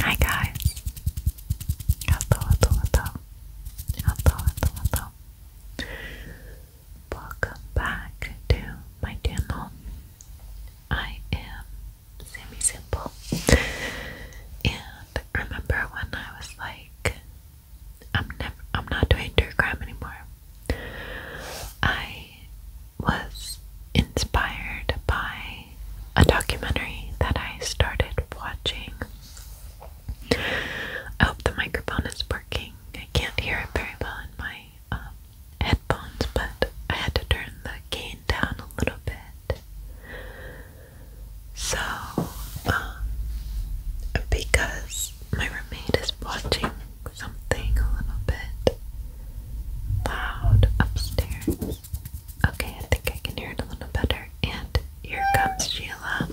Hi guys. Hello, hello, hello. Hello, hello, Welcome back to my channel. I am Sammy Simple. And remember when I was like I'm never I'm not doing true anymore. I was inspired by a documentary that I started watching. I hope the microphone is working. I can't hear it very well in my um, headphones, but I had to turn the gain down a little bit. So, um, because my roommate is watching something a little bit loud upstairs. Okay, I think I can hear it a little better. And here comes Sheila.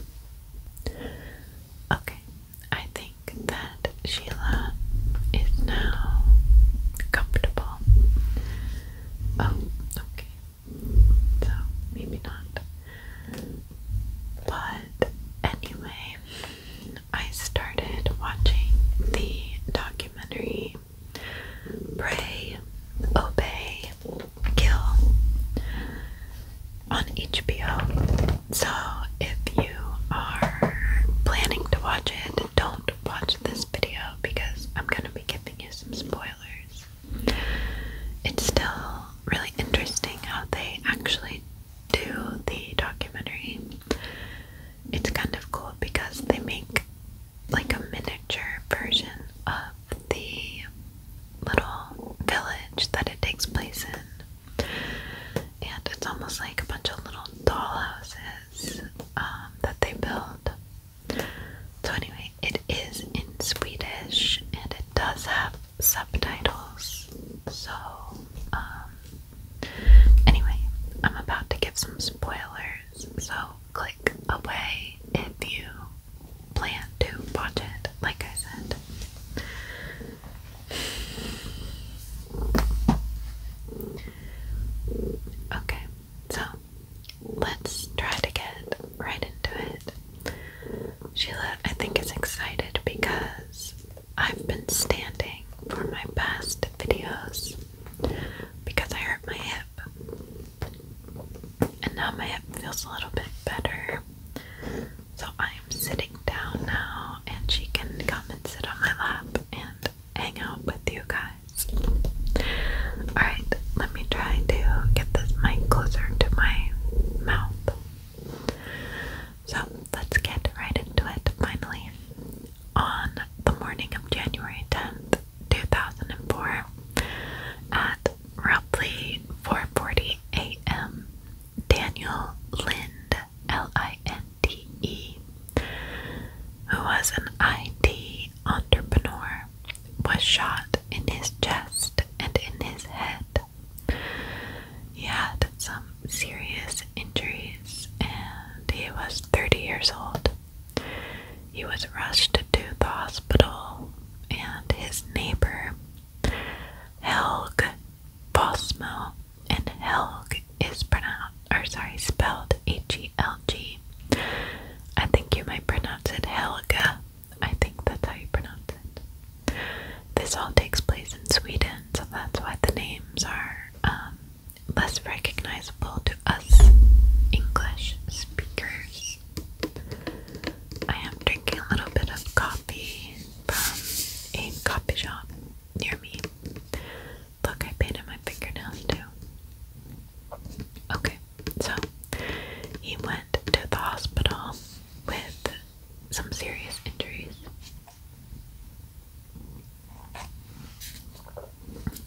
Okay, I think that Sheila is now comfortable. Oh, okay. So, maybe not. But anyway, I started watching the documentary Pray, Obey, Kill on HBO. So if you are planning to watch it, don't watch this video because I'm going to be giving you some spoilers. It's still really interesting how they actually to the documentary. It's kind of cool because they make like a miniature version of the little village that it takes place in. And it's almost like a bunch of little doll houses um, that they build. So, anyway, it is in Swedish and it does have subtitles. So, um, Anyway, I'm about to give some spoilers, so click away if you plan to watch it, like I said. Okay, so let's try to get right into it. Sheila, I think, is excited because I've been standing for my past videos because I hurt my hip. And now my hip feels a little bit better. So I am sitting down now, and she can come and sit on my lap and hang out with you guys. Alright, let me try to get this mic closer to my mouth. So let's get right into it finally. On the morning of January 10th, 2004, at roughly 4:40 a.m., Daniel Lind, L-I-N-D-E, who was an IT entrepreneur, was shot in his chest and in his head. He had some serious injuries and he was 30 years old. He was rushed to the hospital and his neighbor Helg Bosmo and Helg is pronounced or sorry spelled H E L G. I think you might pronounce it Helga. I think that's how you pronounce it. This all takes place in Sweden, so that's why the names are um, less recognizable to us English speakers. I am drinking a little bit of coffee from a coffee shop near me. Look, I painted my fingernails too. Okay, so he went to the hospital with some serious injuries.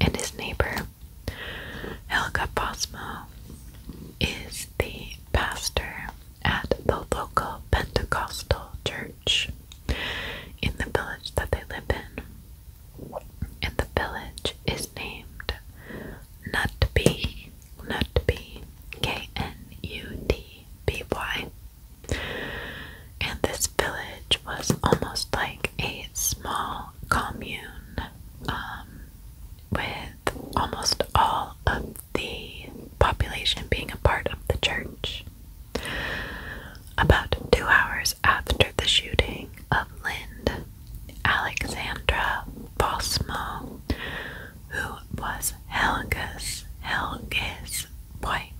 And his neighbor, Helga Posmo, is the pastor at the local Pentecostal church in the village that they live in. And the village is named Nutby, Nutby, K N U T B Y. And this village was almost like a small commune um, with almost all of the population being a part of the church. About two hours after the shooting of Lind, Alexandra Bosmo, who was Helga's Helge's wife,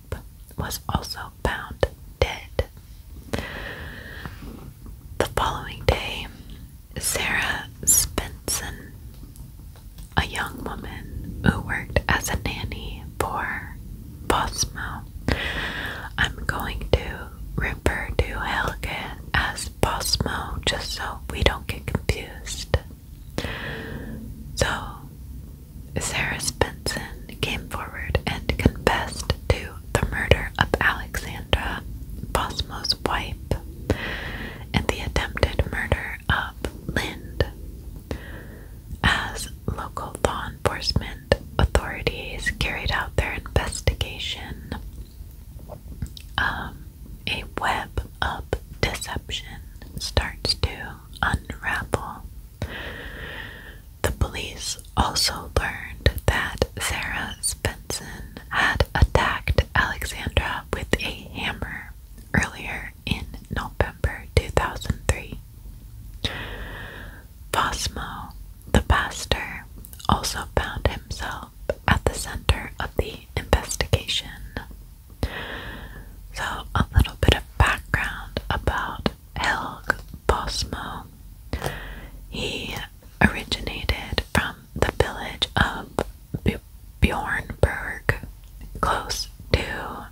was also found dead. The following day, Sarah Spenson, a young woman who worked as a nanny for Bosmo, I'm going to refer to Helga as Bosmo just so we don't get confused. So, Sarah Benson came forward and confessed to the murder of Alexandra, Bosmo's wife, and the attempted murder of Lind. As local law enforcement authorities carried out their investigation, um, a web of deception starts to unravel. The police also learned that Sarah Svensson had attacked Alexandra with a hammer earlier in November 2003. Fosmo, the pastor, also found himself at the center of the investigation. So, a little bit of background about Helg Bosmo. He originated from the village of Bjornberg, close to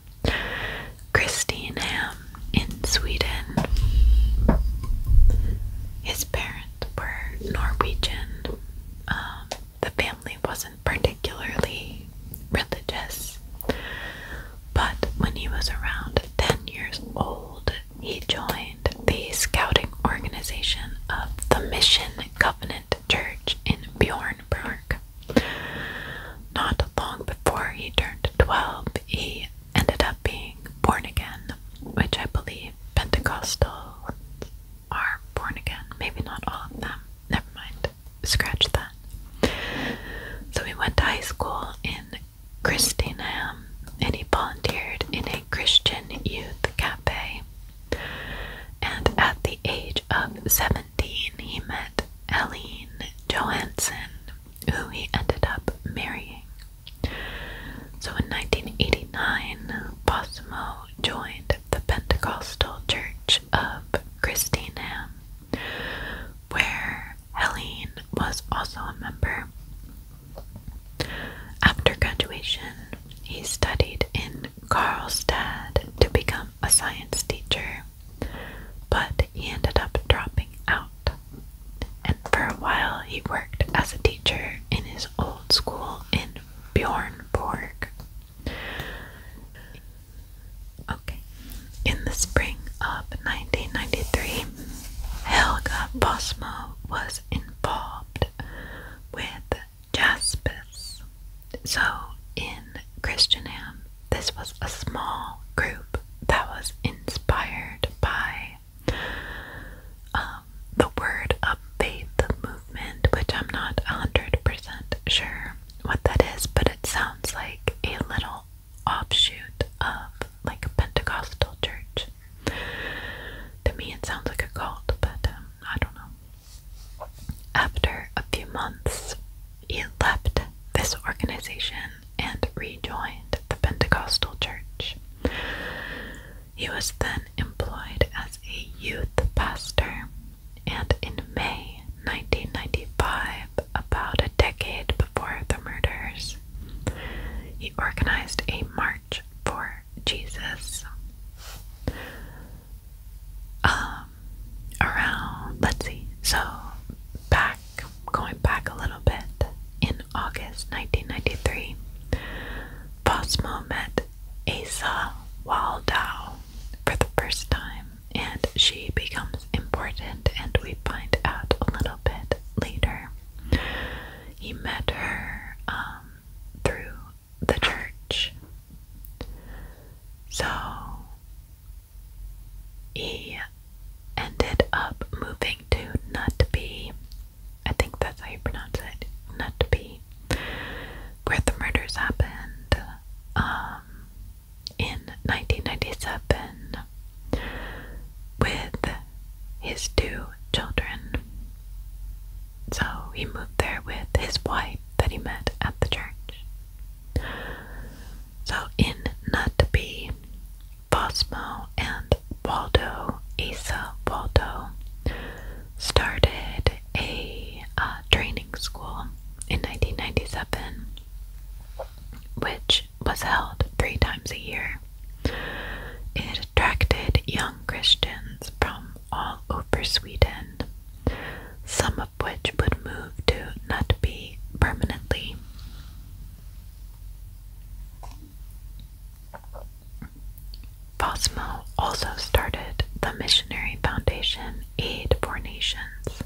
Kristineham in Sweden. His parents were Norwegian. Um, the family wasn't particularly religious. But when he was around 10 years old, he joined the scouting organization of the Mission Covenant Church in Bjornberg. Not long before he turned 12, he ended up being born again, which I believe Pentecostal are born again. Maybe not all of them. Never mind scratch that. So he went to high school in Christingham um, and he volunteered in a Christian youth cafe. And at the age of 17, he met Eileen Johansen, who he ended up marrying. So in 1989, Bosimo joined the Pentecostal Church of Christingham, where Helene was also a member. After graduation, he studied in Karlstad to become a science teacher, but he ended up dropping out. And for a while, he worked as a teacher in his old school in Bjornborg. Okay. In the spring of 1993, Helga Bosmo was involved with Jaspis. So, in Christianham, this was a small group that was inspired by um, the Word of Faith movement, which I'm not 100% sure what that is, but it sounds like a little offshoot of like a Pentecostal church. To me, it sounds like a cult, but um, I don't know. After a few months, he left this organization and rejoined the Pentecostal church. He was then employed as a youth pastor, and in May 1995, about a decade before the murders. He organized a march for Jesus. Um, around, let's see, so back, going back a little bit, in August 1993, Bosmo met Asa Waldau for the first time and she becomes important, and we find out a little bit later. He met her um, through the church. So he ended up moving to Nutby. I think that's how you pronounce it. Nutby. Where the murders happened. Um, in 1997 with his two children. So he moved there with his wife that he met at the church. So in Nutby, Bosmo and Waldo, Asa Waldo, started a uh, training school in 1997 which was held three times a year. It attracted young Christians from all over Sweden, some of which would move to Nutby permanently. Fosmo also started the Missionary Foundation Aid for Nations,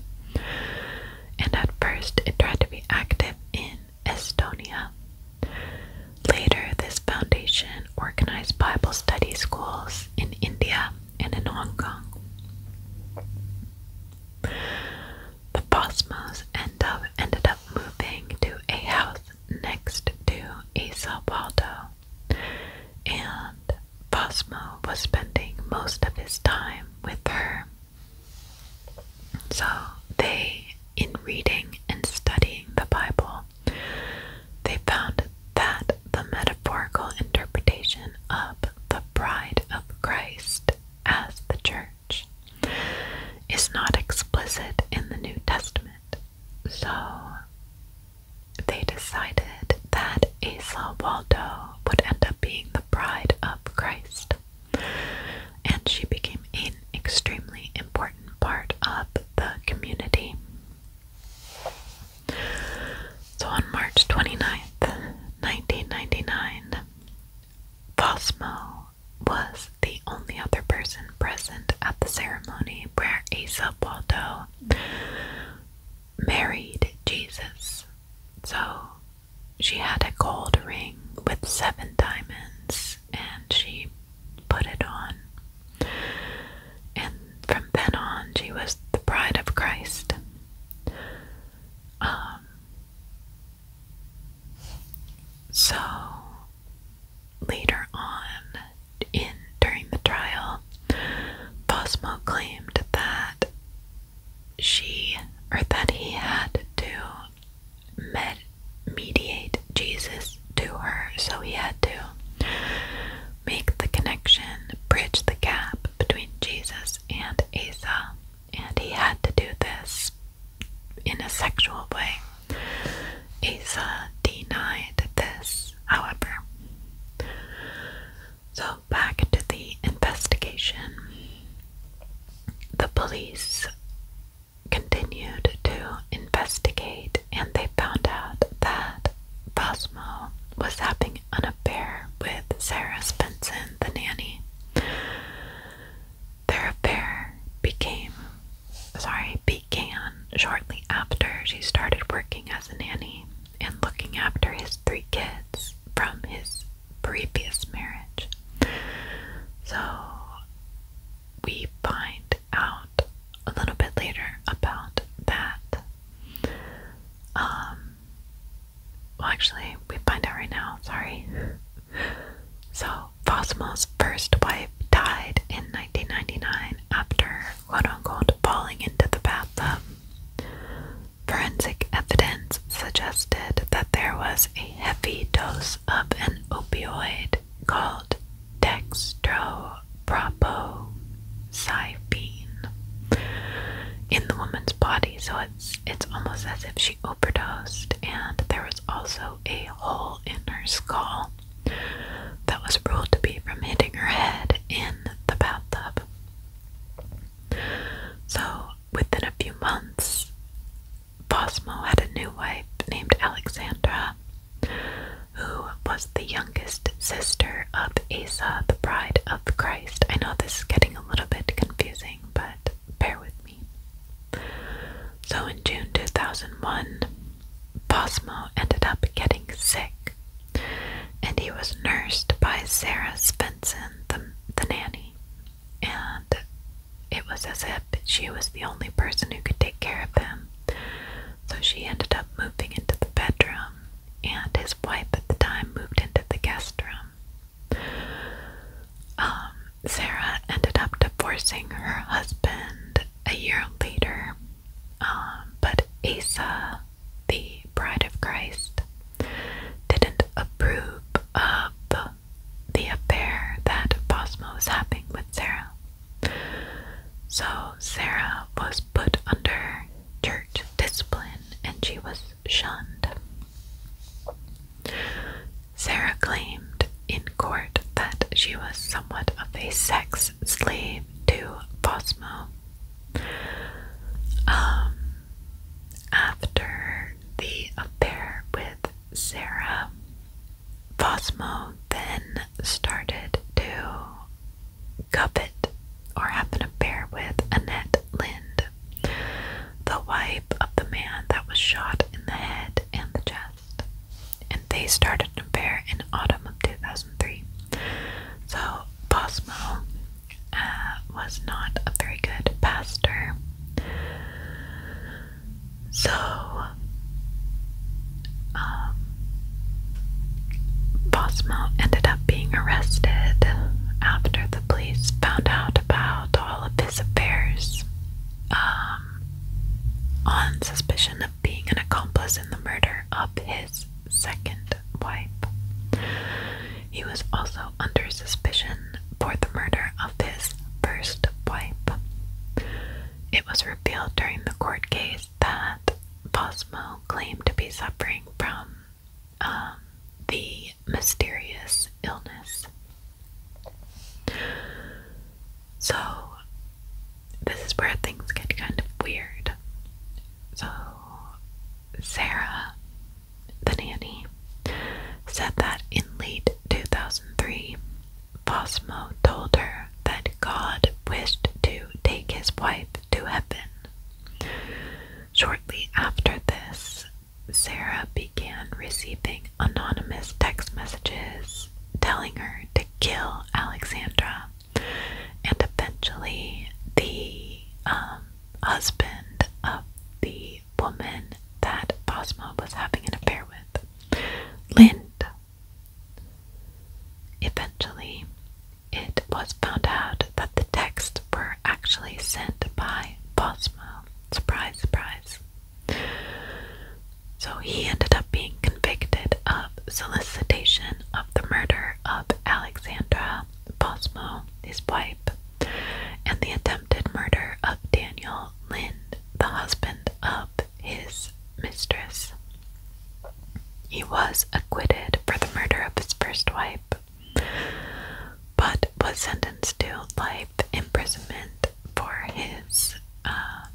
and at first it tried to be active in Estonia. Later, this foundation organized Bible study schools in India and in Hong Kong. The Bosmos ended up moving to a house next to Sao Paulo, and Bosmo was spending most of his time with her so they, in reading and studying the Bible, they found that the metaphorical interpretation of the bride of Christ as the church is not explicit in the New Testament. So they decided that Asa Waldo would end up being the the bride of Christ. And she became an extremely important part of the community. So on March 29th, 1999, Bosmo was the only other person present at the ceremony where Asa Waldo married Jesus. So she had a gold ring with seven diamonds, and she put it on. And from then on, she was the bride of Christ. Um, so later on, in during the trial, Bosmo claimed that she or that he had to mediate Jesus to her, so he had to make the connection, bridge the gap between Jesus and Asa, and he had to do this in a sexual way. Asa denied this, however. So back to the investigation. The police continued to investigate and they found out that Bosmo was having an affair with Sarah Spenson, the nanny. Their affair became sorry, began shortly after she started working as a nanny and looking after his three kids from his previous marriage. So we find out a little bit later about that. Um, well, actually, we find out right now, sorry. So, Fosmo's first wife died in 1999 after, quote unquote, falling into the bathtub. Forensic evidence suggested that there was a heavy dose of an opioid called dextropropoxyphene in the woman's body, so it's it's almost as if she overdosed, and there was also a hole in her skull that was ruled to be from hitting her head in the bathtub. So within a few months, Bosmo had a new wife named Alexandra, who was the youngest sister of Asa, the bride of Christ. I know this is getting a little bit confusing, but bear with me. So in June 2001, Bosmo ended up getting sick, and he was nursed by Sarah Svensson, the, the nanny and it was as if she was the only person who could take care of them, So she ended up moving into the bedroom, and his wife at the time moved into the guest room. Um, Sarah ended up divorcing her husband a year later, um, but Asa, the bride of Christ, didn't approve of the affair that Bosmo was having with Sarah. So Sarah was put under church discipline and she was shunned. Sarah claimed in court that she was somewhat of a sex slave to Bosmo. Um, after the affair with Sarah, Bosmo then started to covet or have an affair with Annette Lind, the wife of the man that was shot in the head and the chest. And they started to pair in autumn of 2003. So Bosmo uh, was not a very good pastor. So, um, Bosma ended up being arrested after the police found out about all of his affairs um, on suspicion of being an accomplice in the murder of his second wife. He was also under suspicion for the murder of his first wife. It was revealed during the court case that Posmo claimed to be suffering from um, the mysterious illness. So, this is where things get kind of weird. So, Sarah the nanny, said that in late 2003, Bosmo told her that God wished to take his wife to heaven. Shortly after this, Sarah began receiving anonymous text messages telling her to kill Alexandra, and eventually the um, husband of the woman that Bosmo was having an affair with, Lind. Eventually, it was found out that the texts were actually sent by Bosmo. Surprise, surprise. So he ended up being convicted of solicitation of the murder of Alexandra Bosmo, his wife, and the attempted murder of Daniel Lind, the husband of his mistress. He was acquitted for the murder of his first wife, but was sentenced to life imprisonment for his um,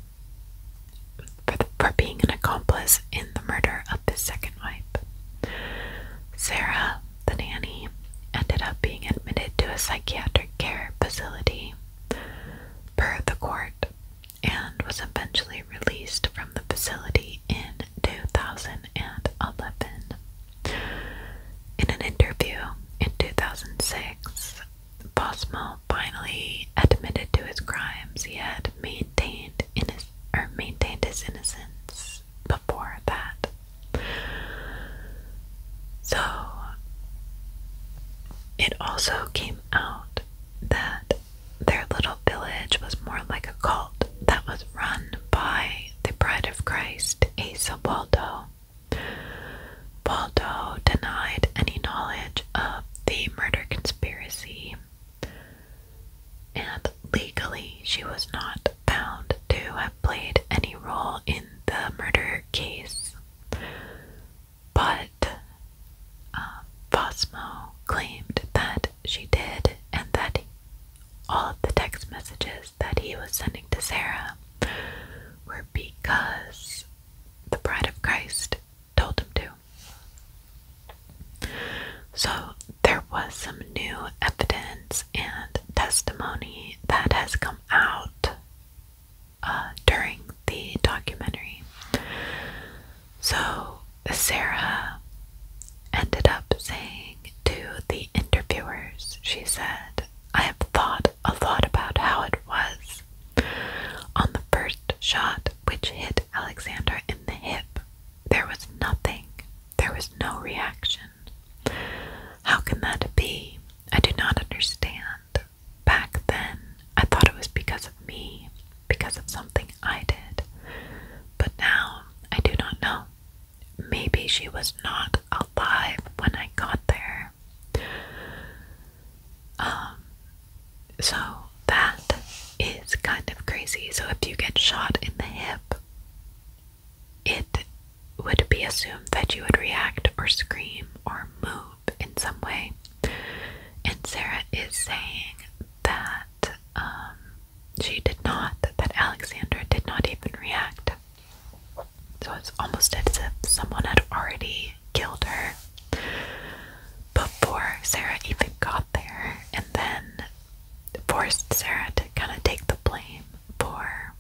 for being an accomplice in the murder of his second wife. Sarah the nanny, ended up being admitted to a psychiatric care facility per the court and was eventually released from the facility in 2011. In an interview in 2006, Bosmo finally admitted to his crimes he had maintained in his, or maintained his innocence, before that. So, it also came out that their little village was more like a cult that was run by the Bride of Christ, Asa Waldo. Waldo denied any knowledge of the murder conspiracy, and legally she was not bound to have played any role in the murder case, but Bosmo um, claimed that she did, and that all of the text messages that he was sending to Sarah were because the Bride of Christ told him to. So there was some new evidence and testimony that has come out uh, during the documentary. So, Sarah ended up saying to the interviewers, she said, I have thought a lot about how it was on the first shot which hit Alexander in the hip. There was nothing. There was no reaction. How can that be? I do not understand. Back then, I thought it was because of me, because of something I did. But now, I do not know. Maybe she was not alive when I got there. Um, so that is kind of crazy. So if you get shot in the hip, it would be assumed that you would react or scream or move in some way. And Sarah is saying that um, she did not, that Alexander did not even react. So it's almost as if someone had already killed her before Sarah even got there and then forced Sarah to kind of take the blame for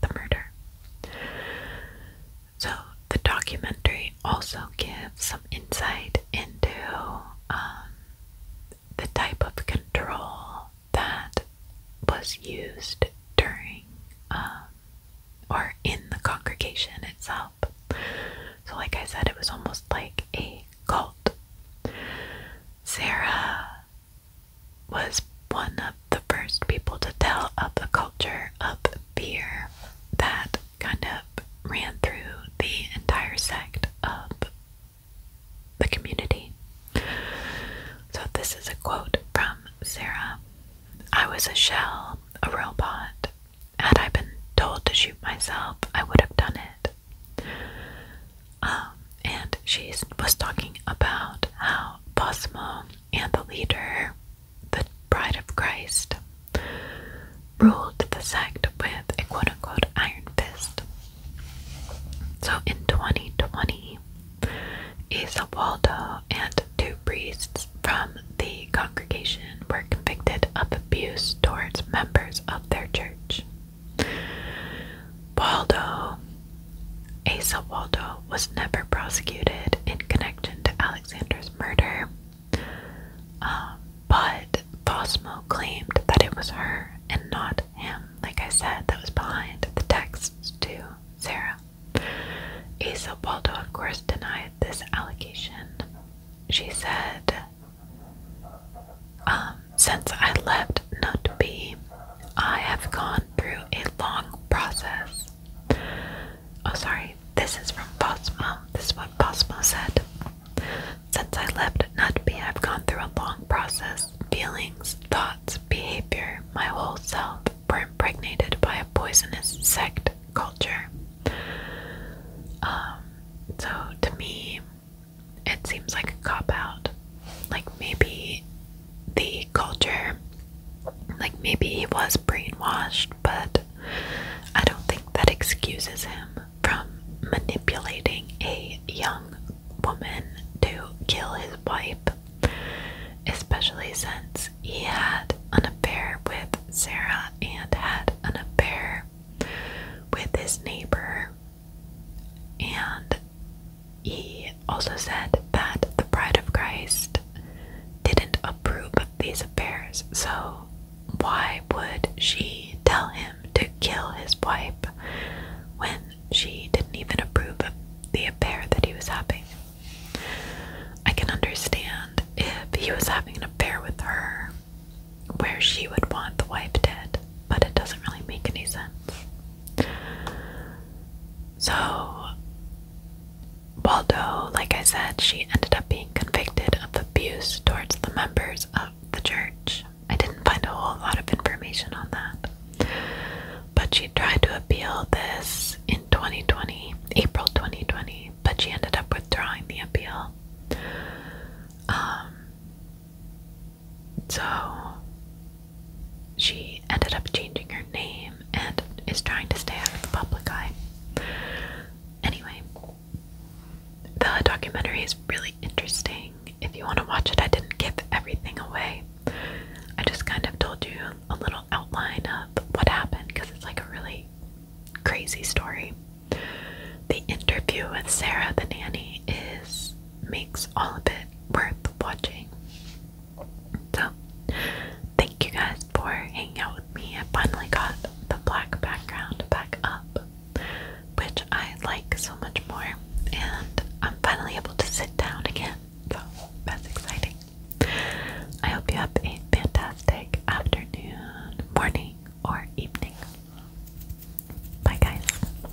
the murder. So, the documentary also gives some insight into um, the type of control that was used during um, or in the congregation itself. So, like I said, it was almost like a cult. Sarah was one of the first people to tell of the culture of fear that kind of ran through the entire sect of the community. So, this is a quote from Sarah I was a shell, a robot. Had I been told to shoot myself, I would have done it. Um, and she was talking about how Bosmo and the leader, the bride of Christ, ruled the sect with a quote unquote iron fist. So in 2020, Isa Waldo and two priests from the congregation were convicted of abuse towards members of their church. Waldo Asa Waldo was never prosecuted in connection to Alexander's murder, um, but Bosmo claimed that it was her and not him. Like I said, that was behind the texts to Sarah. Asa Waldo, of course, denied this allegation. She said, um, Since I left must not be. I have gone through a long process. Oh, sorry, this is from Bosmo. This is what Bosmo said. Since I left Nutby, I've gone through a long process. Feelings, thoughts, behavior, my whole self were impregnated by a poisonous sect culture. Um, so to me, it seems like a cop out. Like maybe the culture. Like maybe he was brainwashed, but I don't think that excuses him from manipulating a young woman to kill his wife, especially since he had an affair with Sarah and had an affair with his neighbor. And he also said that the bride of Christ didn't approve of these affairs, so why would she tell him to kill his wife when she didn't even approve of the affair that he was having? I can understand if he was having an affair with her where she would want the wife dead, but it doesn't really make any sense. So, Waldo, like I said, she ended up being convicted of abuse towards the members of the church. I didn't find a whole lot of information on that. But she tried to appeal this in 2020, April 2020, but she ended up withdrawing the appeal. Um, so she ended up changing her name and is trying to stay out of the public eye. Anyway, the documentary is really interesting. If you want to watch it, I didn't give everything away. I just kind of told you a little outline of what happened because it's like a really crazy story. The interview with Sarah the nanny is makes all of it worth watching. So, thank you guys for hanging out with me. I finally got the black background back up, which I like so much more, and I'm finally able to sit down again. So, that's exciting. I hope you have a fantastic afternoon, morning, or evening. Bye, guys.